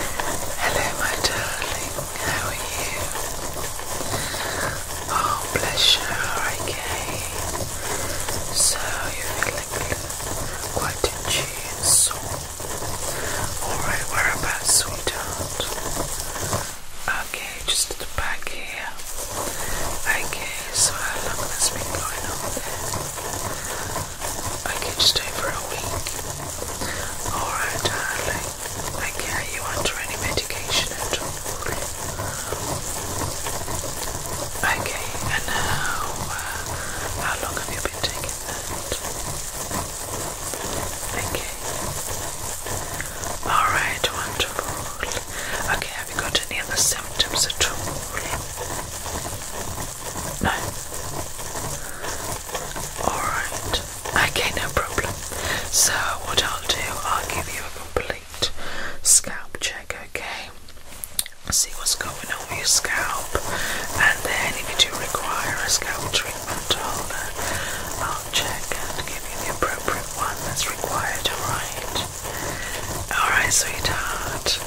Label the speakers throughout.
Speaker 1: Hello, my darling, how are you? Oh, bless you, okay. So, you're feeling quite in tune, so. Alright, whereabouts, sweetheart? Okay, just back here. Okay, so how long has been going on I can stay for a week. Alright, darling. I care you under any medication at all. Okay, and now, uh, how long have you been taking that? Okay. Alright, wonderful. Okay, have you got any other symptoms at all? No. Alright. Okay, no problem. So, what I'll do, I'll give you a complete scalp check, okay? See what's going on with your scalp, and then if you do require a scalp treatment, I'll, uh, I'll check and give you the appropriate one that's required, alright? Alright, sweetheart.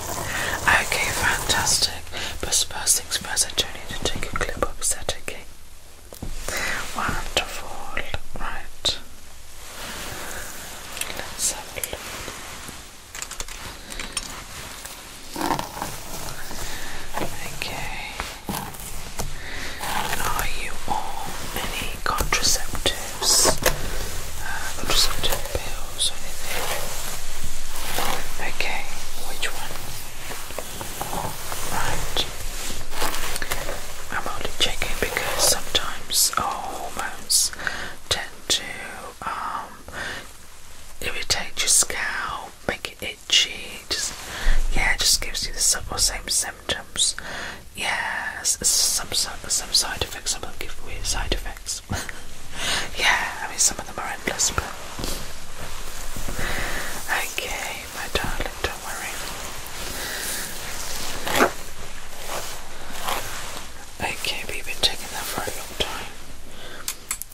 Speaker 1: Okay, fantastic. But first things first, need to take a clip of that again. Wonderful, right? Let's have a look. Okay. Are you on any contraceptives? contraceptive uh, pills? Okay, which one? Right. I'm only checking because sometimes oh, our hormones tend to um, irritate your scalp, make it itchy, just yeah, just gives you the same symptoms. Yes, yeah, some some side effects. I will give weird side effects. yeah, I mean, some of them are endless, but. Okay, my darling, don't worry. Okay, we've been taking that for a long time.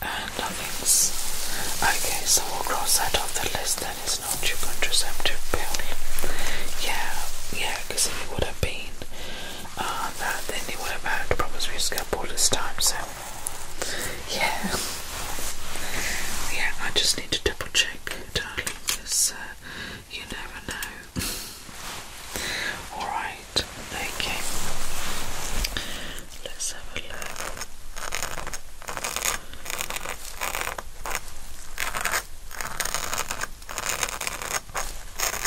Speaker 1: And nothing's. Okay, so we'll cross that off the list then. It's not your contraceptive pill. Yeah, yeah, because if it would have been, uh, that they knew all about problems we used to this time, so yeah. yeah, I just need to double check, darling, uh, because uh, you never know. Alright, okay. Let's have a look.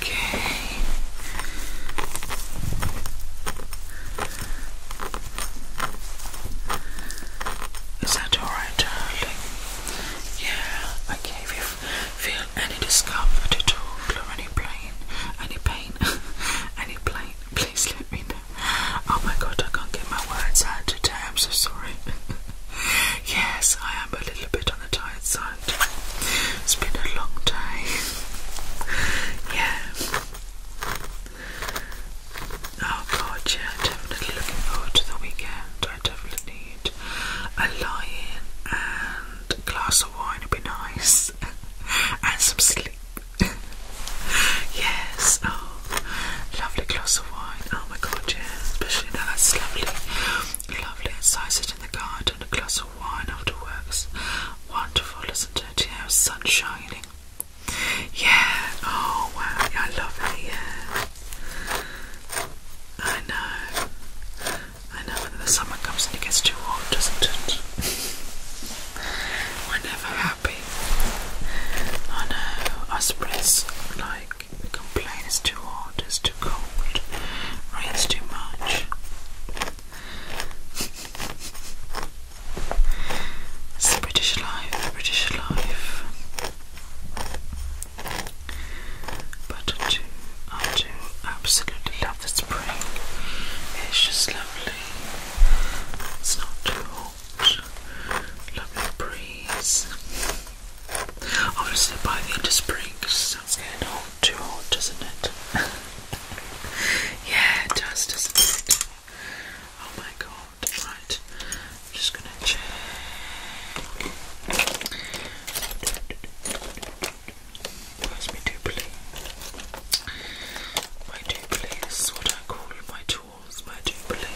Speaker 1: Okay. Is that alright, darling? Yeah, okay. If feel any discomfort at all or any pain, any pain, please let me know. Oh my god, I can't get my words out today. I'm so sorry. Yes, I am a little bit on the tired side. It's been a long day. Yeah. Oh god, yeah, definitely looking forward to the weekend. I definitely need a lie-in and a glass of wine would be nice. and some sleep. yes, oh Lovely glass of wine. Oh my god, yeah. Especially now that's lovely. Lovely. Sausage in the garden, a glass of wine after works. Wonderful, isn't it? Yeah, sun shining. Yeah. Oh wow, yeah, lovely, yeah. I know. I know when the summer comes and it gets too hot, doesn't it? We're never happy. I know. Us Brits, like, the complaint is too hot, it's too cold, rains too much. It's the British life, the British life. But I do, I do absolutely love the spring. It's just lovely. It's not too hot lovely breeze. Obviously, by the end of spring, sounds getting hot, too hot, doesn't it? yeah, it does, doesn't it? Oh my god, right. I'm just gonna check. Where's my doobly? My doobly, this is what I call my towards my Jubilee.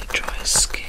Speaker 1: And dry skin,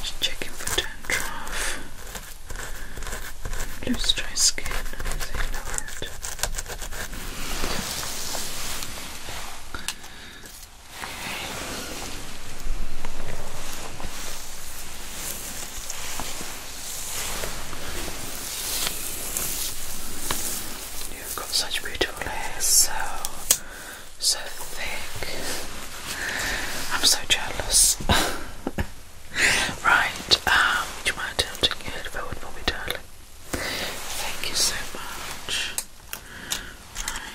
Speaker 1: Just checking for dandruff, loose dry skin, You've got such beautiful hair, so so thick. I'm so jealous. right, um, would you mind tilting your for me, darling? Thank you so much. Right.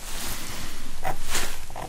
Speaker 1: Okay. Uh,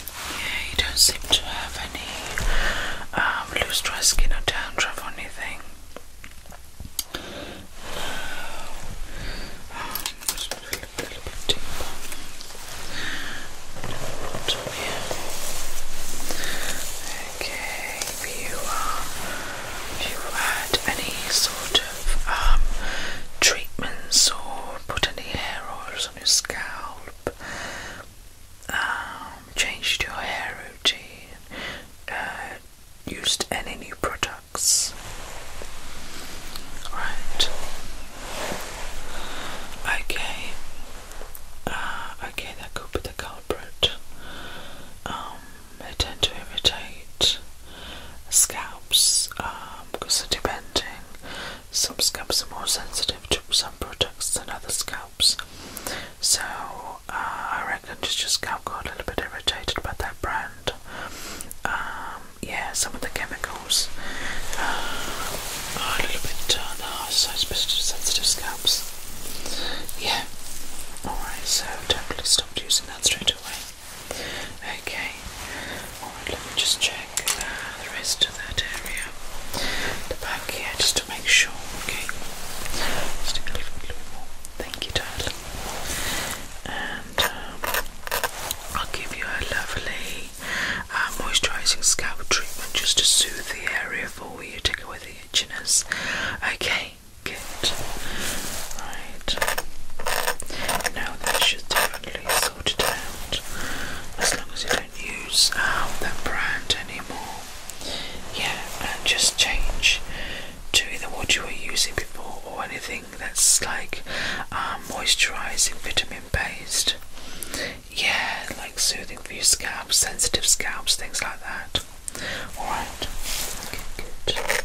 Speaker 1: Yeah, you don't seem to have any um, loose dry skin or dandruff or anything. No. Um, just a little, bit deeper. Bottom here. Okay, uh, if you, had any sort of um, treatments or put any hair oils on your scalp, um, changed your hair routine, uh, used any new products? Right. Okay. Uh, okay, that could be the culprit. Um, they tend to irritate scalps um, because they're depending some scalps are more sensitive to some products than other scalps. So uh, I reckon just your scalp got a little bit irritated about that brand. Um, yeah, some of the chemicals uh, are a little bit uh, no, so sensitive scalps. Yeah. Alright, so totally stopped using that straight away. Okay. Alright, let me just check uh, the rest that area, the back here, just to make sure. Okay, just a little, bit more. Thank you, darling. And um, I'll give you a lovely uh, moisturising scalp treatment just to soothe the area for you, take away the itchiness. Okay, good. Right. Now that should definitely sort it out. As long as you don't use um, that brand anymore. Yeah, and just change to either what you were using before or anything that's like um, moisturizing, vitamin based. Yeah, like soothing for your scalp, sensitive scalps, things like that. Alright, good.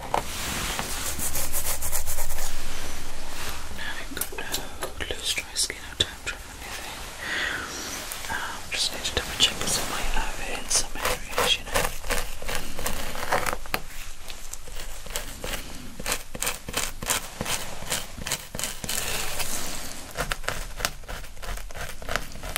Speaker 1: I've got uh, loose dry skin or dandruff or anything. Um, just need to double check because I might have it in some areas, you know.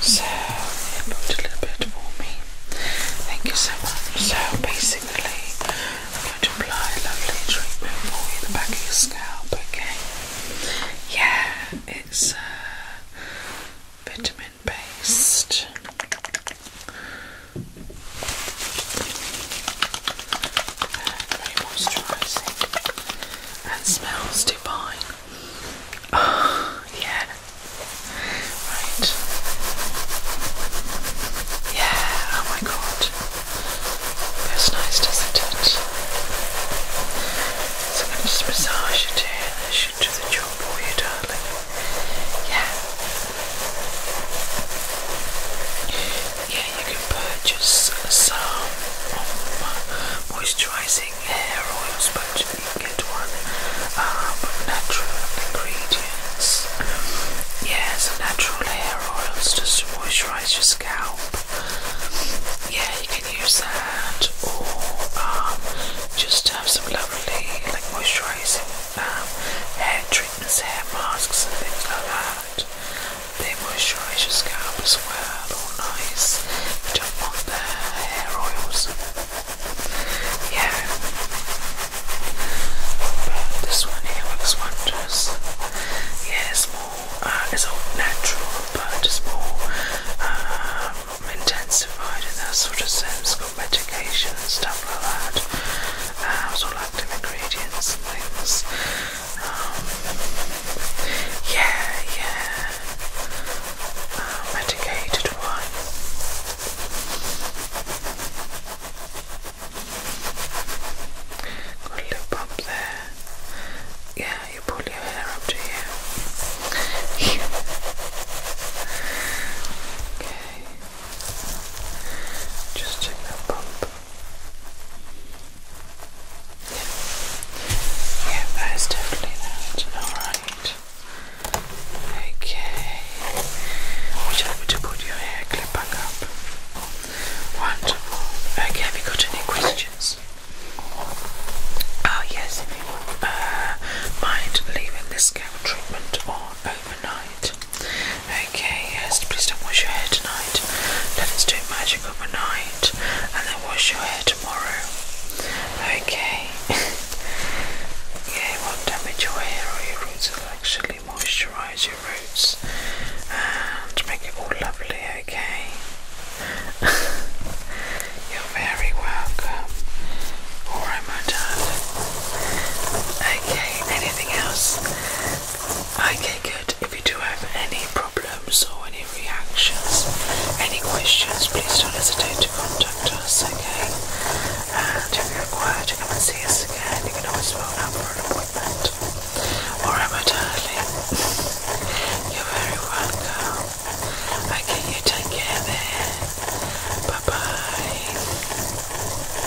Speaker 1: So, yeah, a little bit for Thank you so much. So, basically, I'm going to apply a lovely treatment for you, the back of your scalp, okay? Yeah, it's uh, vitamin based very moisturising and smells divine. yeah. Right. Yeah, oh my god. Feels nice, doesn't it? So I'm going to just massage it here. That should do the job for you, darling. Yeah yeah, you can purchase some moisturizing hair oils, but you can get one um, natural ingredients. Yeah, it's a natural hair oil, just to moisturize your scalp. Yeah, you can use that, or um, just have some lovely like moisturizing um, hair treatments, hair masks, and things like that. They moisturize your scalp as well, all nice. You not want the hair oils. Yeah. But this one here works wonders. Yeah, it's more, uh, it's all natural, but just more um, intensified in that sort of sense. it got medication and stuff like that. Uh, it's all active ingredients things yeah, yeah. medicated um, one. Got lip up there. Yeah, you pull your hair up to here. Okay. Just check that bump. Yeah, that is definitely that. Alright. Okay. Would you like me to put your hair clip back up? Wonderful. Okay, have you got any questions? Oh yes, uh, mind leaving this scalp treatment on overnight. Okay, yes, please don't wash your hair tonight. Let us do magic overnight and then wash your hair tomorrow. Okay. yeah, it won't damage your hair roots, it'll actually moisturise your roots and make it all lovely, okay? You're very welcome. Alright, my darling. Okay, anything else? Okay, good. If you do have any problems or any reactions, any questions, please don't hesitate to contact us, okay? And if you require to come and see us again, you can always phone up for an appointment. Alright, my darling. You're very welcome. Okay, you take care then. Bye bye.